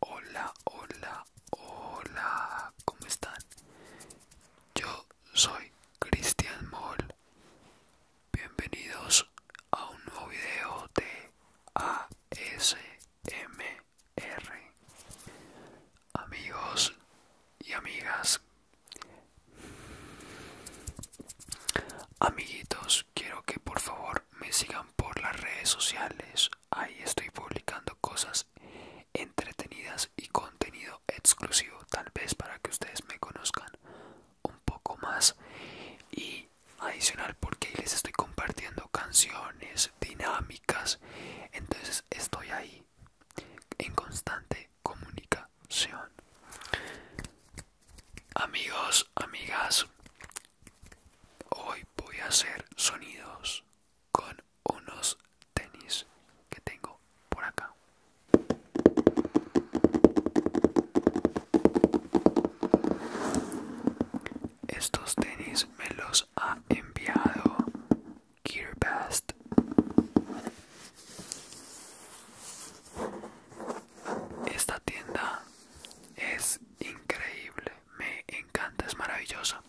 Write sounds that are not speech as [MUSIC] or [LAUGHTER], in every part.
Hola, hola, hola, ¿cómo están? Yo soy Cristian Moll. Bienvenidos a un nuevo video de ASMR. Amigos y amigas, amiguitos, quiero que por favor me sigan por las redes sociales. Ahí estoy publicando cosas entretenidas y contenido exclusivo, tal vez para que ustedes me conozcan un poco más. Y adicional porque les estoy compartiendo canciones, dinámicas. Entonces estoy ahí en constante comunicación. Amigos, amigas, Hoy voy a hacer sonidos con unos tenis que tengo por acá. Estos tenis me los ha enviado Gearbest. Esta tienda es increíble, me encanta, es maravillosa.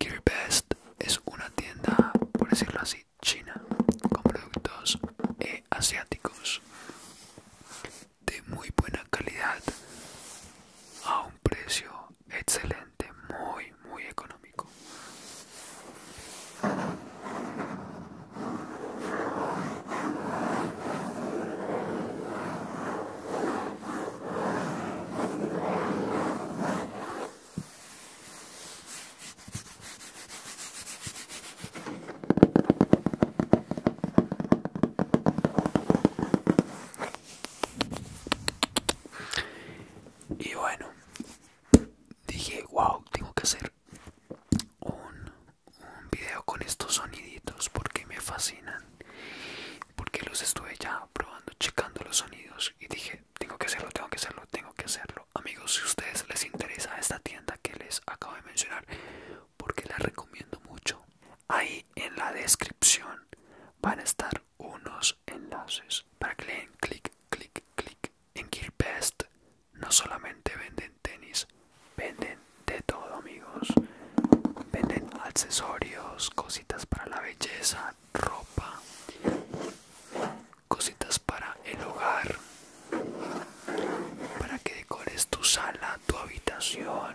Gearbest es una tienda, por decirlo así, china, con productos eh, asiáticos de muy buena calidad a un precio excelente, muy, muy económico. Y bueno, dije, wow, tengo que hacer un un video con estos soniditos porque me fascinan porque los estuve ya probando checando los sonidos y dije tengo que hacerlo tengo que hacerlo tengo que hacerlo amigos si a ustedes les interesa esta tienda que les acabo de mencionar porque la recomiendo mucho ahí en la descripción van a estar unos enlaces para que le den clic clic clic en Gearbest no solamente venden tenis, venden de todo amigos. Venden accesorios, cositas para la belleza, ropa, cositas para el hogar, para que decores tu sala, tu habitación.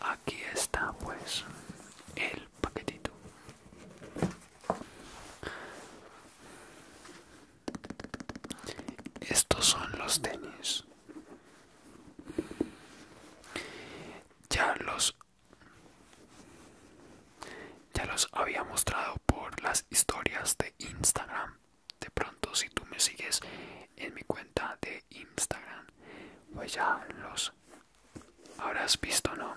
Aquí está pues el paquetito. Estos son los tenis. Ya los ya los había mostrado por las historias de Instagram. De pronto, si tú me sigues en mi cuenta de Instagram, pues ya los habrás visto, ¿no?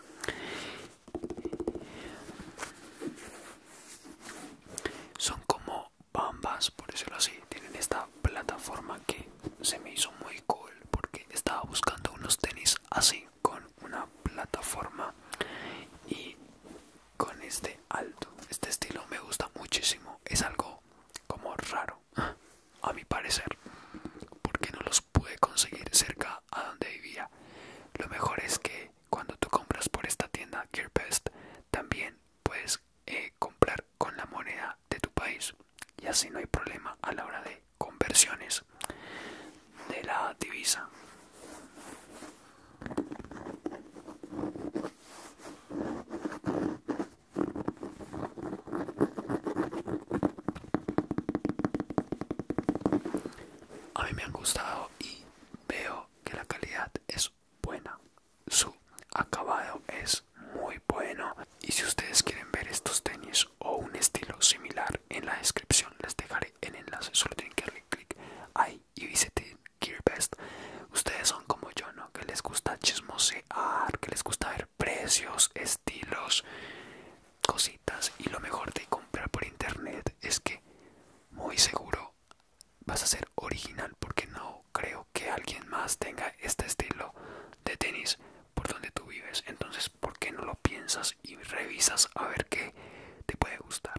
Son como bambas, por decirlo así. Tienen esta plataforma que se me hizo muy cool porque estaba buscando unos tenis así con una plataforma y con este alto este estilo me gusta muchísimo es algo como raro a mi parecer porque no los pude conseguir cerca a donde vivía lo mejor es que cuando tú compras por esta tienda Gearbest también puedes eh, comprar con la moneda de tu país y así no hay problema a la hora de conversiones de la divisa. A mí me han gustado y veo que la calidad es buena. Su acabado es muy bueno. Y si ustedes quieren ver estos tenis o un estilo similar en la descripción les dejaré el enlace solo tienen que darle clic ahí y visiten Gearbest ustedes son como yo no que les gusta chismosear que les gusta ver precios estilos cositas y lo mejor de comprar por internet es que muy seguro vas a ser original porque no creo que alguien más tenga este estilo de tenis por donde tú vives entonces por qué no lo piensas y revisas a ver qué te puede gustar.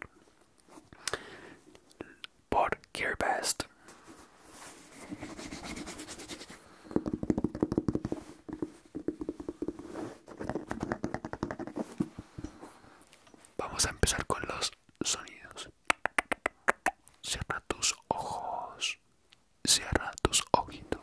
Por Gearbest. Vamos a empezar con los sonidos. Cierra tus ojos. Cierra tus ojitos.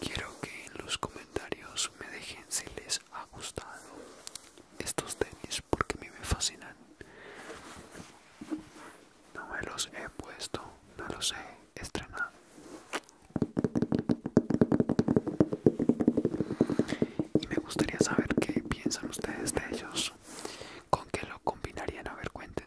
Quiero que en los comentarios me dejen si les ha gustado estos tenis porque a mí me fascinan no me los he puesto, no los he estrenado. Y me gustaría saber qué piensan ustedes de ellos. ¿Con qué lo combinarían? A ver, cuéntenme.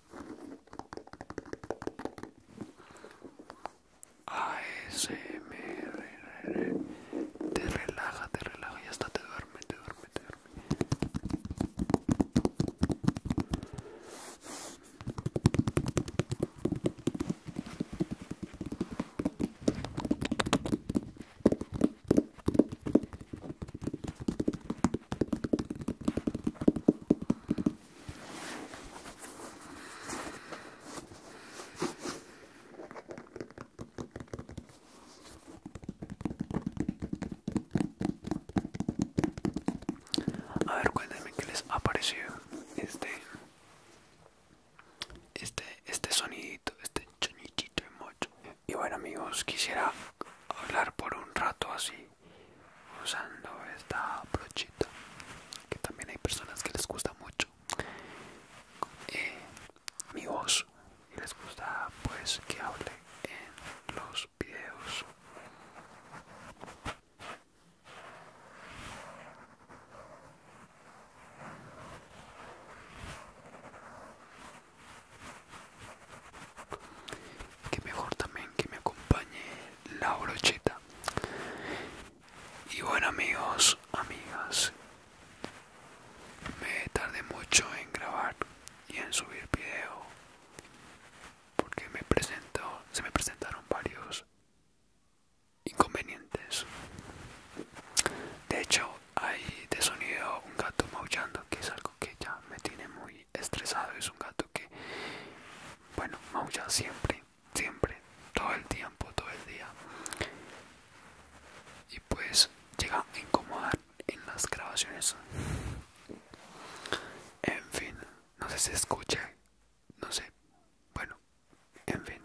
ASMR te relaja, te relaja Ya está, te duerme, te duerme, te duerme. A ver, cuéntenme qué les ha parecido este este este sonidito, este chonichito y bueno amigos, quisiera hablar por un rato así, usando esta brochita, que también hay personas que les gusta mucho. Eh, mi voz, y les gusta pues que hable en los videos que mejor también que me acompañe la brocheta y bueno amigos amigas me tardé mucho en grabar y en subir video porque me presentó se me presentaron varios inconvenientes de hecho hay de sonido un gato maullando que es algo que ya me tiene muy estresado. Es un gato que, bueno, maulla siempre, siempre, todo el tiempo, todo el día. Y pues llega a incomodar en las grabaciones. En fin, no sé si escucha no sé. Bueno, en fin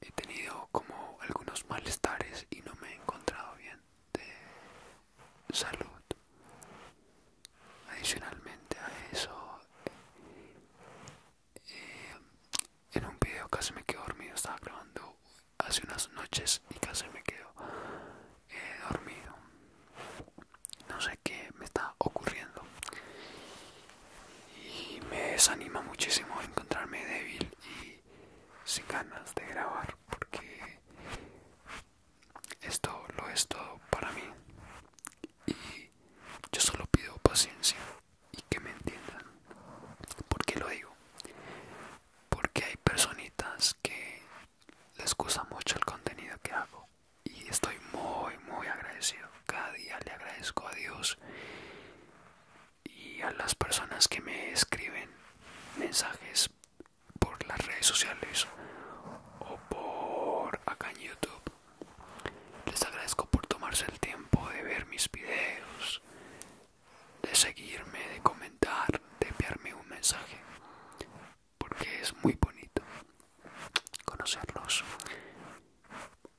he tenido como algunos malestares y no me he encontrado bien de salud. Adicionalmente a eso, eh, en un video casi me quedo dormido, estaba grabando hace unas noches y casi me quedo eh, dormido. No sé qué me está ocurriendo. Y me desanima muchísimo encontrarme débil y sin ganas de grabar porque esto lo es todo para mí y yo solo pido paciencia y que me entiendan ¿por qué lo digo? porque hay personitas que les gusta mucho el contenido que hago y estoy muy muy agradecido cada día le agradezco a Dios y a las personas que me escriben mensajes por las redes sociales o por acá en YouTube. Les agradezco por tomarse el tiempo de ver mis videos, de seguirme, de comentar, de enviarme un mensaje, porque es muy bonito conocerlos,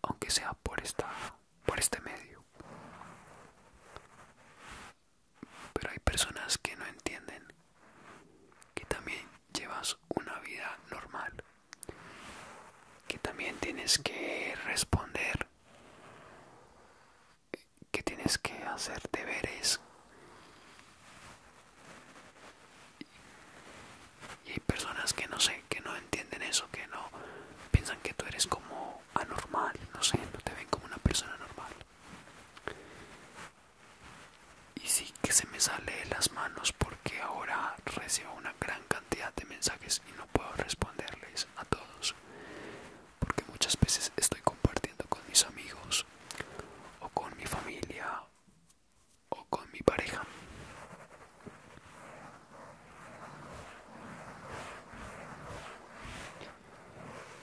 aunque sea por esta por este medio. Pero hay personas que no entienden que también llevas una vida normal, que también tienes que responder, que tienes que hacer deberes. Y hay personas que no sé, que no entienden eso, que no piensan que tú eres como anormal, no sé, no te ven como una persona normal. Y sí que se me sale de las manos porque ahora recibo una gran cantidad de mensajes y no puedo responderles a todos. Porque muchas veces estoy compartiendo con mis amigos o con mi familia o con mi pareja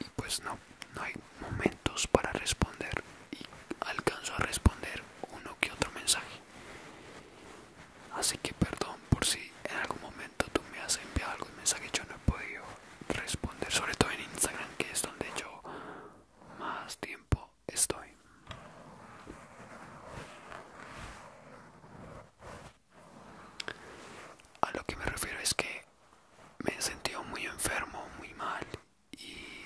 y pues no, no hay momentos para responder y alcanzo a responder uno que otro mensaje. Así que perdón por si en algún momento tú me has enviado algún mensaje yo no he podido responder, sobre todo en Instagram que es donde yo más tiempo estoy. A lo que me refiero es que me he sentido muy enfermo, muy mal y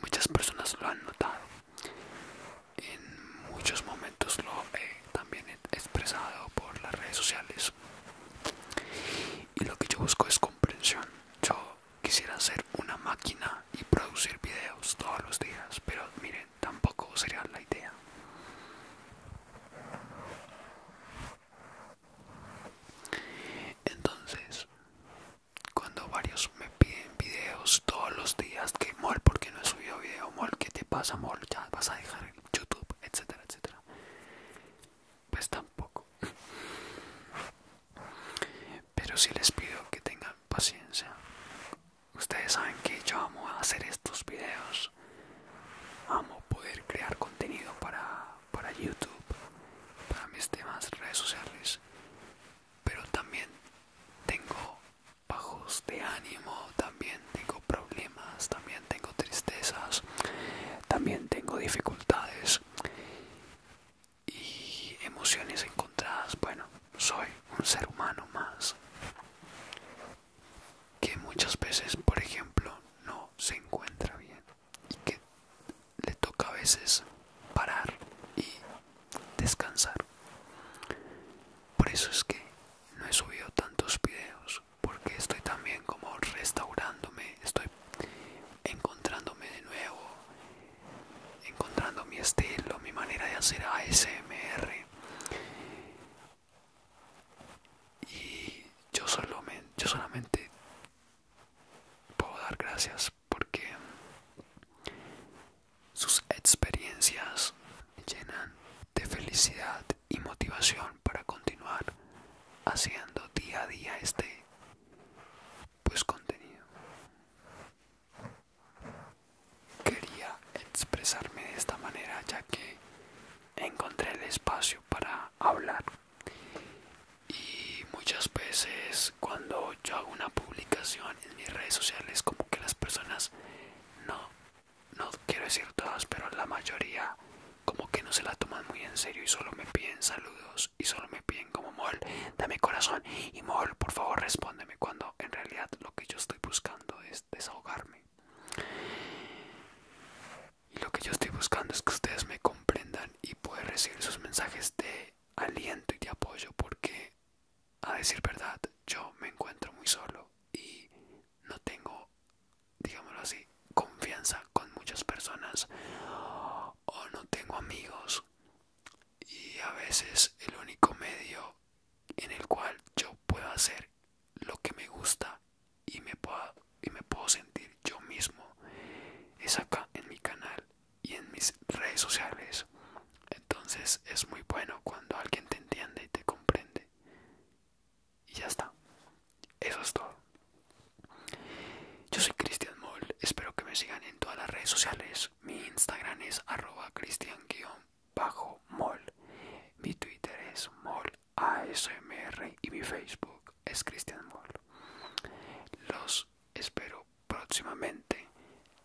muchas personas lo han notado. En muchos momentos lo he también expresado por las redes sociales. Y lo que yo busco es comprensión. Yo quisiera ser una máquina y producir videos todos los días, pero miren tampoco sería la idea. Entonces, cuando varios me piden videos todos los días, que mol, porque no he subido video, mol, ¿qué te pasa, mol? Ya vas a dejar YouTube, etcétera, etcétera. Pues tampoco. [LAUGHS] Pero si les pido que tengan paciencia Ustedes saben que yo amo hacer estos videos. Amo poder crear contenido para, para YouTube, para mis demás redes sociales. Pero también tengo bajos de ánimo, también tengo problemas, también tengo tristezas, también tengo dificultades y emociones encontradas. Bueno, soy un ser humano más que muchas veces, por ejemplo, no se encuentra bien y que le toca a veces parar y descansar. Por eso es que no he subido tantos videos, porque estoy también como restaurándome, estoy encontrándome de nuevo, encontrando mi estilo, mi manera de hacer ASMR. Y yo, yo solamente puedo dar gracias porque sus experiencias me llenan de felicidad y motivación para continuar haciendo día a día este pues contenido Quería expresarme de esta manera ya que encontré el espacio para hablar y muchas veces cuando yo hago una publicación en mis redes sociales como que las personas no no quiero decir todas pero la mayoría como que no se la toman muy en serio y solo me piden saludos y solo me piden como mol dame corazón y mol por favor respóndeme cuando en realidad lo que yo estoy buscando es desahogarme. Y lo que yo estoy buscando es que ustedes me comprendan y puedan recibir sus mensajes de aliento y de apoyo porque, a decir verdad, yo me encuentro muy solo y no tengo, digámoslo así, confianza con muchas personas o no tengo amigos y a veces el único medio en el cual yo puedo hacer lo que me gusta y me puedo, y me puedo sentir yo mismo es acá en mi canal y en mis redes sociales entonces es muy bueno cuando alguien te entiende y te comprende y ya está eso es todo yo soy Cristian Moll espero que me sigan en todas las redes sociales mi Instagram es arroba bajo mol. Mi Twitter es mol ASMR y mi Facebook es Cristian Mol. Los espero próximamente.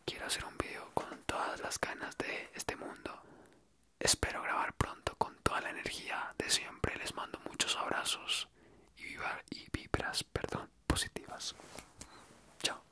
Quiero hacer un video con todas las ganas de este mundo. Espero grabar pronto con toda la energía de siempre. Les mando muchos abrazos y, y vibras perdón, positivas. Chao.